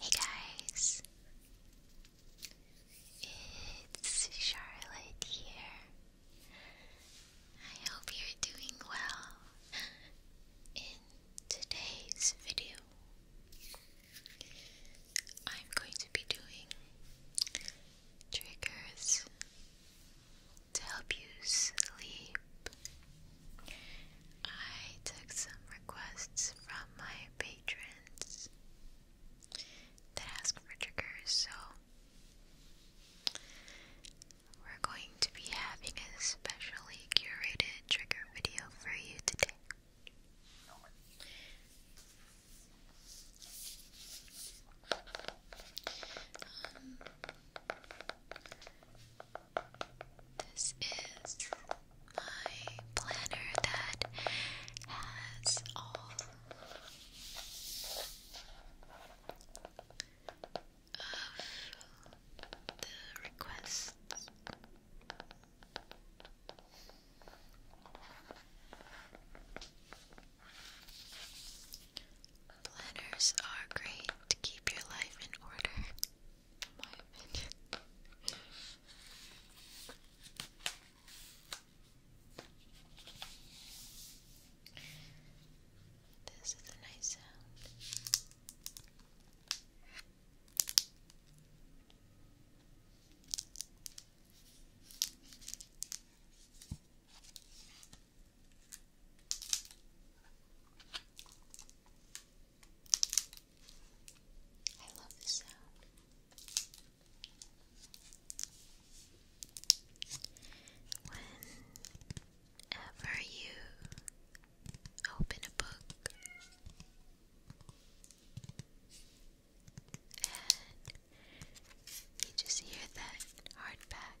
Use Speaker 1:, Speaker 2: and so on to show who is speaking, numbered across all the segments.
Speaker 1: Hey guys, it's Charlotte here. I hope you're doing well. In today's video, I'm going to be doing triggers to help you sleep I took some requests from my patrons that ask for triggers, so we're going to be having a specially curated trigger video for you today. This is my planner that has all of the requests. Planners are great to keep your life in order my opinion. this is a nice sound. I love the sound. Whenever you open a book and you just hear that hardback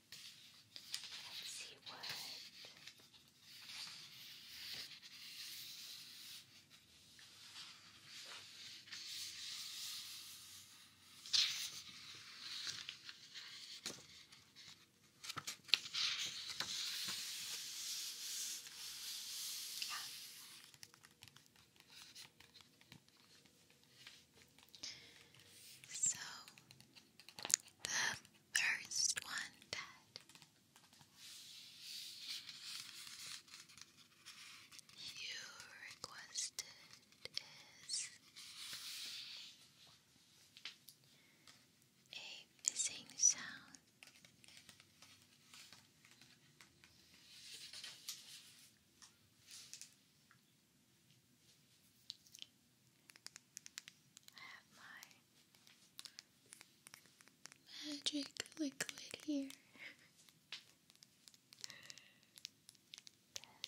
Speaker 1: Let's see what so the first one, Dad. You requested is a hissing sound. I have my magic liquid here.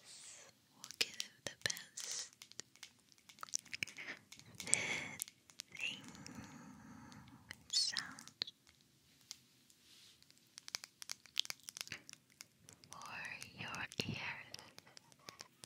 Speaker 1: This will give the best fitting sound for your ears.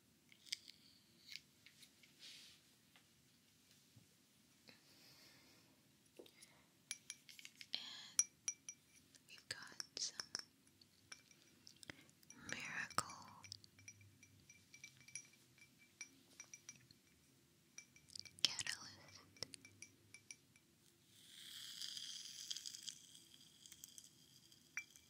Speaker 1: And we've got some miracle catalyst.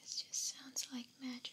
Speaker 1: This just sounds like magic.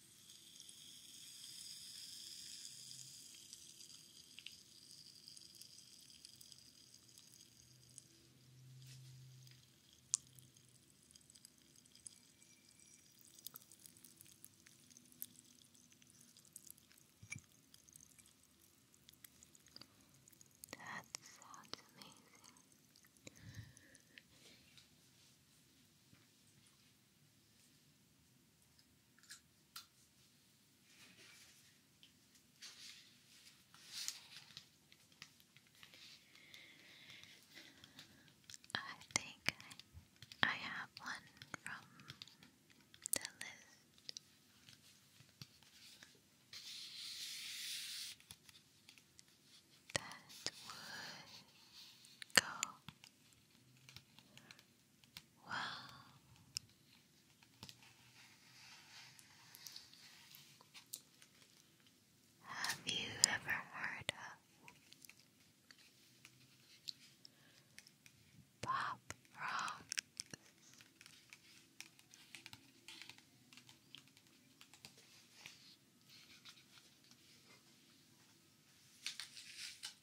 Speaker 1: That sounds amazing. I think I, have one from the list. That would go Wow. Have you ever heard of pop rock?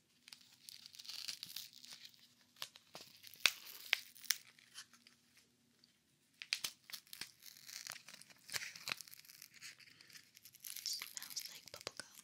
Speaker 1: Smells like bubblegum.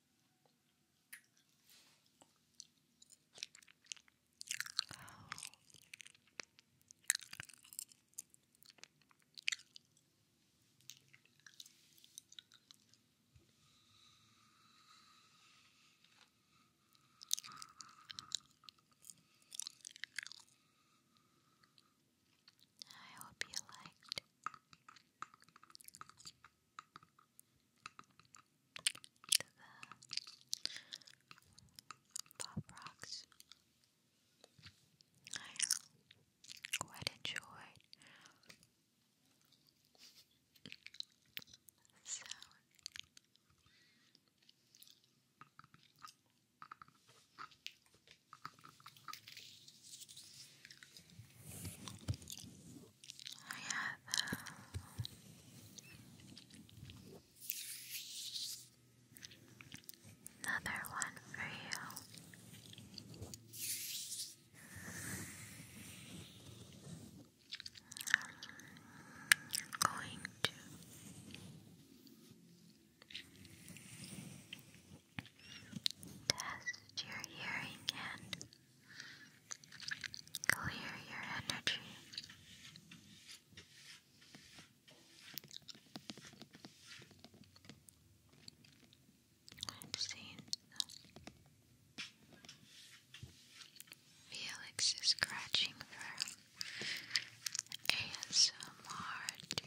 Speaker 1: I hope you liked Pop Rocks. I quite enjoyed the I another one for you. I'm going to Test your hearing and clear your energy. I've seen Felix scratching for ASMR too.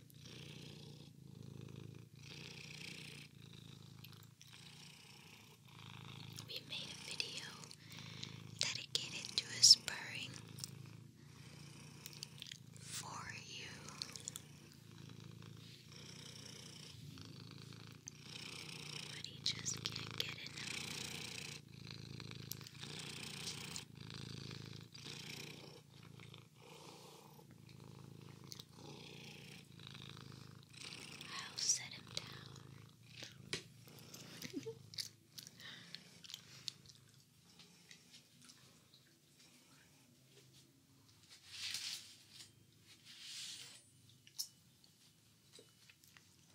Speaker 1: We made a video dedicated to his purring for you. But he just can't get enough. I'll set him down.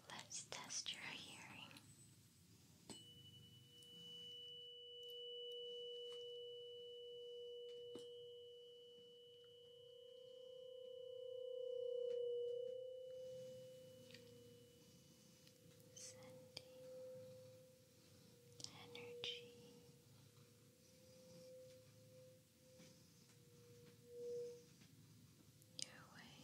Speaker 1: Let's test your hearing. Sending energy your way.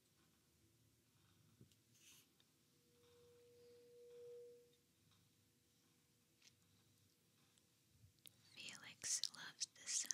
Speaker 1: Felix loves the sound.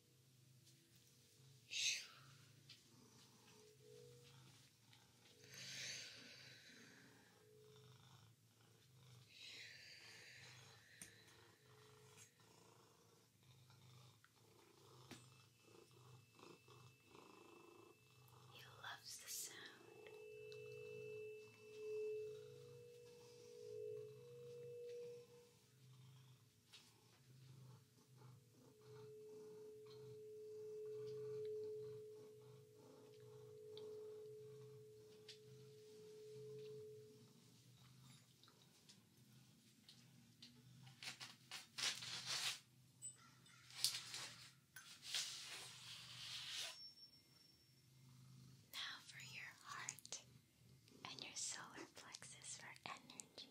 Speaker 1: He loves the sound. He now for your heart and your solar plexus for energy.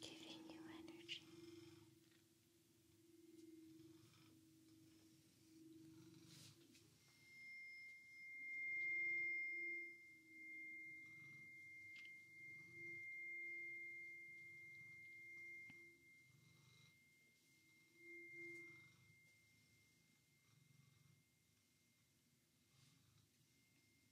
Speaker 1: giving you energy.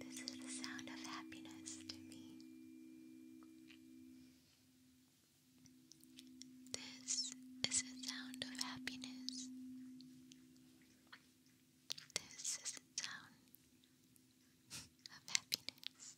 Speaker 1: This is the sound of happiness to me. This is a sound of happiness. This is a sound of happiness.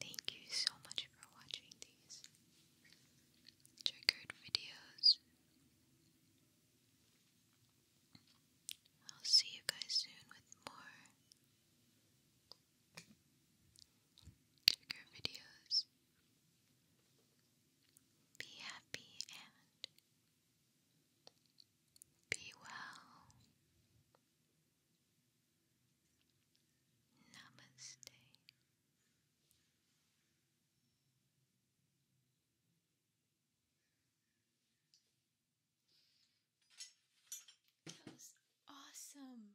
Speaker 1: Thank you so much for watching these triggered videos. I'll see you guys soon with more trigger videos. Be happy and be well. Namaste. That was awesome.